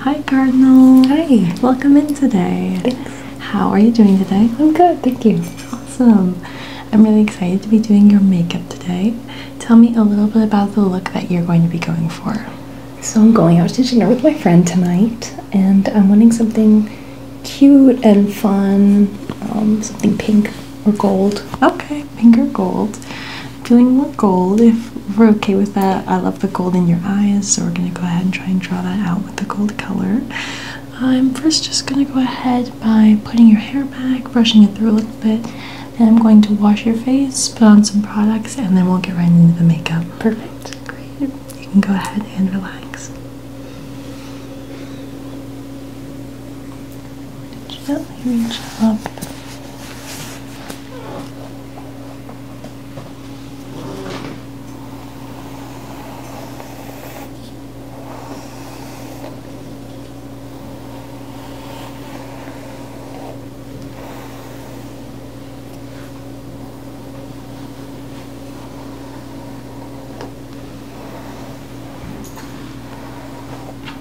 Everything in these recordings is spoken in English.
Hi Cardinal. Hi. Welcome in today. How are you doing today? I'm good, thank you. Awesome. I'm really excited to be doing your makeup today. Tell me a little bit about the look that you're going to be going for. So I'm going out to dinner with my friend tonight and I'm wanting something cute and fun, um, something pink or gold. Okay finger gold. feeling more gold. If we're okay with that, I love the gold in your eyes, so we're gonna go ahead and try and draw that out with the gold color. I'm first just gonna go ahead by putting your hair back, brushing it through a little bit. Then I'm going to wash your face, put on some products, and then we'll get right into the makeup. Perfect. Great. You can go ahead and relax and gently reach up.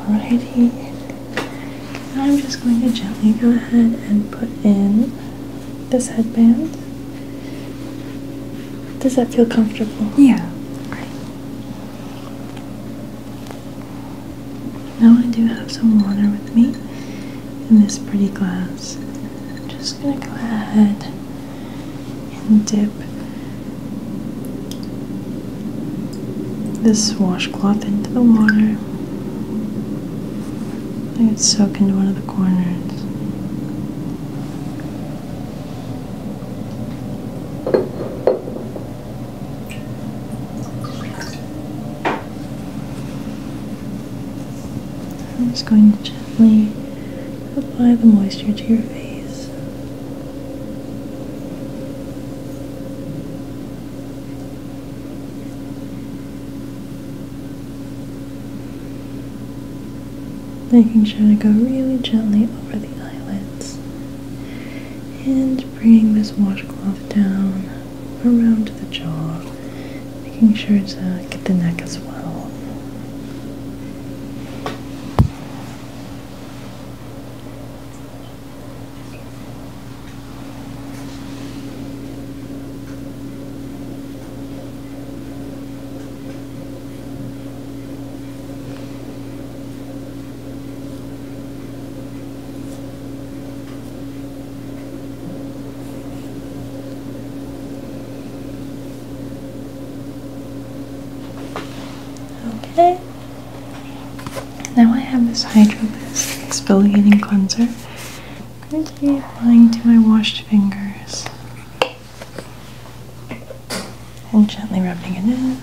Alrighty, I'm just going to gently go ahead and put in this headband. Does that feel comfortable? Yeah. Now I do have some water with me in this pretty glass. I'm just gonna go ahead and dip this washcloth into the water. Let it soak into one of the corners. I'm just going to gently apply the moisture to your face. Making sure to go really gently over the eyelids and bringing this washcloth down around the jaw, making sure to get the neck as well. Okay. Now I have this Hydro exfoliating cleanser. I'm going to be applying to my washed fingers and gently rubbing it in.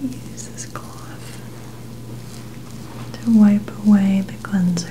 use this cloth to wipe away the cleanser.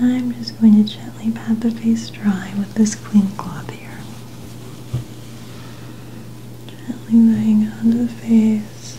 Now I'm just going to gently pat the face dry with this clean cloth here. Gently laying it onto the face.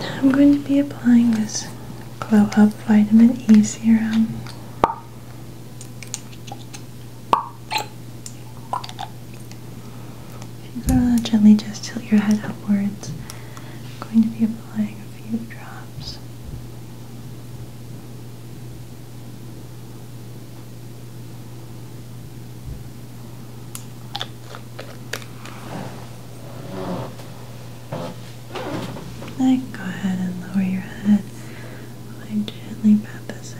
Now I'm going to be applying this Glow Up Vitamin E Serum. If you go to gently just tilt your head upwards, I'm going to be applying a few drops. Then go ahead and lower your head while I gently pat this in.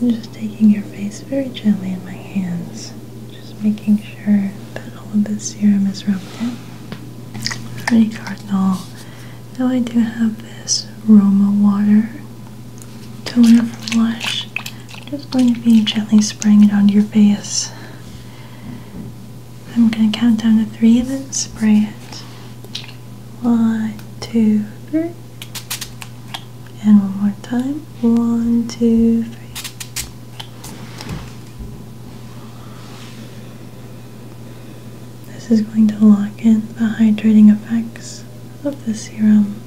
I'm just taking your face very gently in my hands, just making sure that all of the serum is rubbed in. Alrighty, Cardinal. Now I do have this Roma water toner from Lush. I'm just going to be gently spraying it onto your face. I'm going to count down to three, then spray it. One, two, three. And one more time. One, two, three. This is going to lock in the hydrating effects of the serum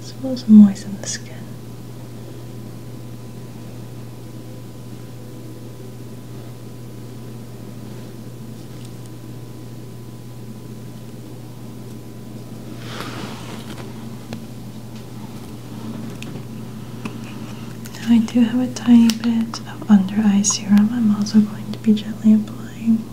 as well as moisten the skin. I do have a tiny bit of under eye serum. I'm also going to be gently applying.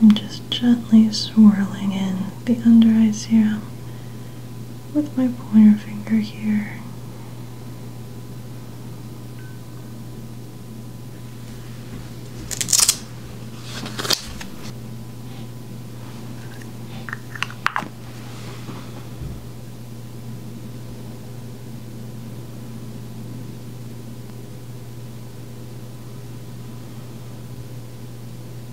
I'm just gently swirling in the under eye serum with my pointer finger here.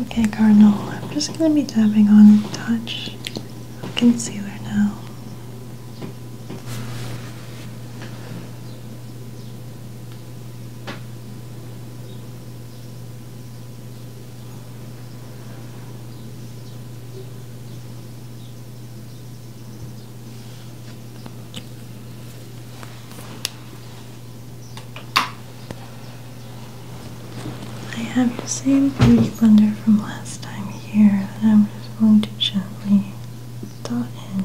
Okay, Cardinal, I'm just going to be tapping on touch concealer now. I have the same beauty blender from last time here that I'm just going to gently dot in.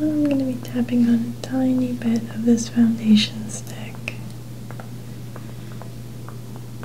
I'm going to be tapping on a tiny bit of this foundation stick.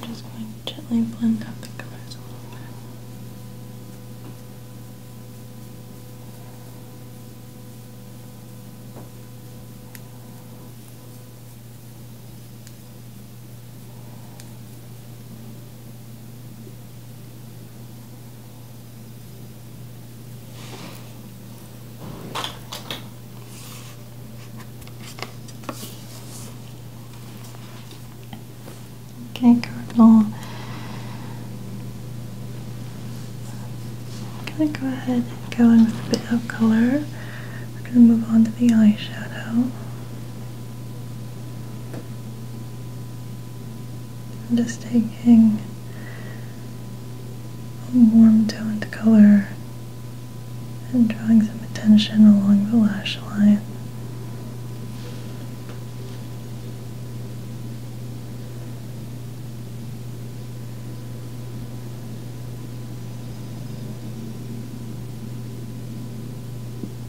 I'm just going to gently blend out the colors a little bit. Okay, Cardinal. I'm going to go ahead and go in with a bit of color. We're going to move on to the eyeshadow. I'm just taking a warm toned color and drawing some attention along the lash line.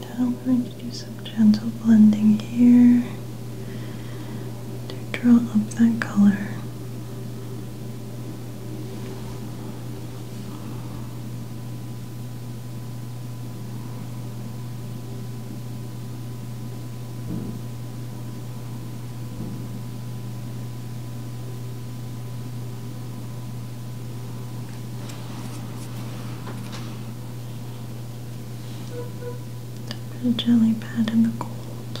Now we're going to do some gentle blending here to draw up that color. A jelly pad in the cold.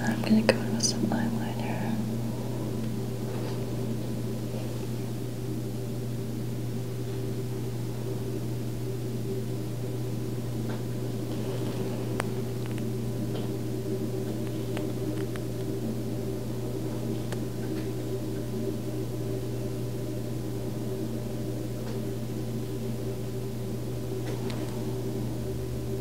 I'm gonna go in with some eyeliner.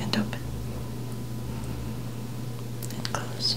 and open and close.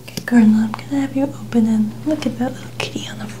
Okay, Colonel, I'm gonna have you open and look at that little kitty on the floor.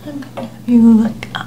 I'm going to have you look up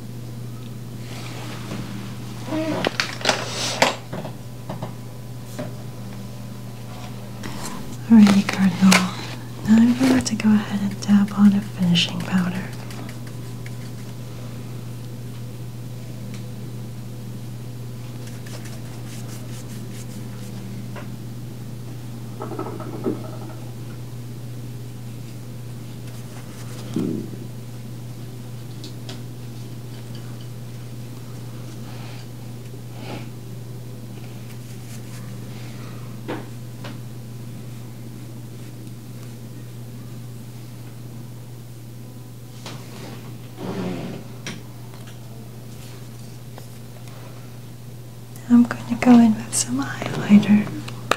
Alrighty, Cardinal. Now I'm going to go ahead and dab on a finishing powder. I'm going to go in with some highlighter.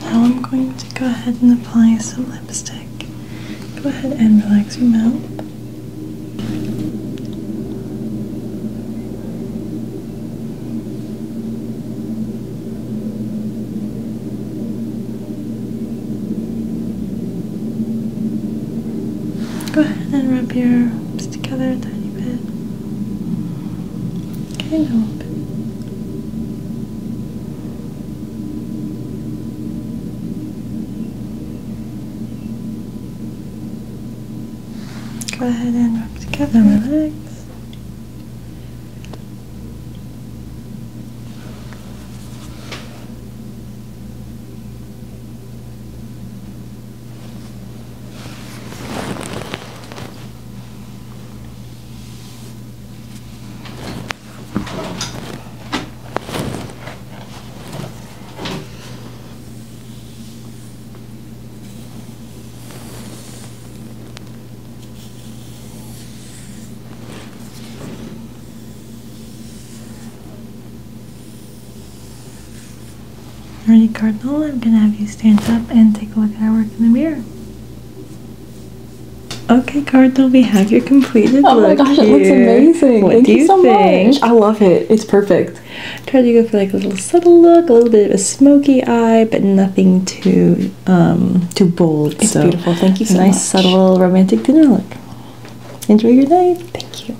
Now I'm going to go ahead and apply some lipstick. Go ahead and relax your mouth. Go ahead and rub your arms together a tiny bit. Okay, now open. Go ahead and wrap together, relax. Alrighty, Cardinal, I'm gonna have you stand up and take a look at our work in the mirror. Okay, Cardinal, we have your completed oh look. Oh my gosh, it looks amazing. What Thank you, so think? much. I love it. It's perfect. Try to go for like a little subtle look, a little bit of a smoky eye, but nothing too um, too bold. It's so beautiful. Thank you so nice, much. Nice subtle romantic dinner look. Enjoy your night. Thank you.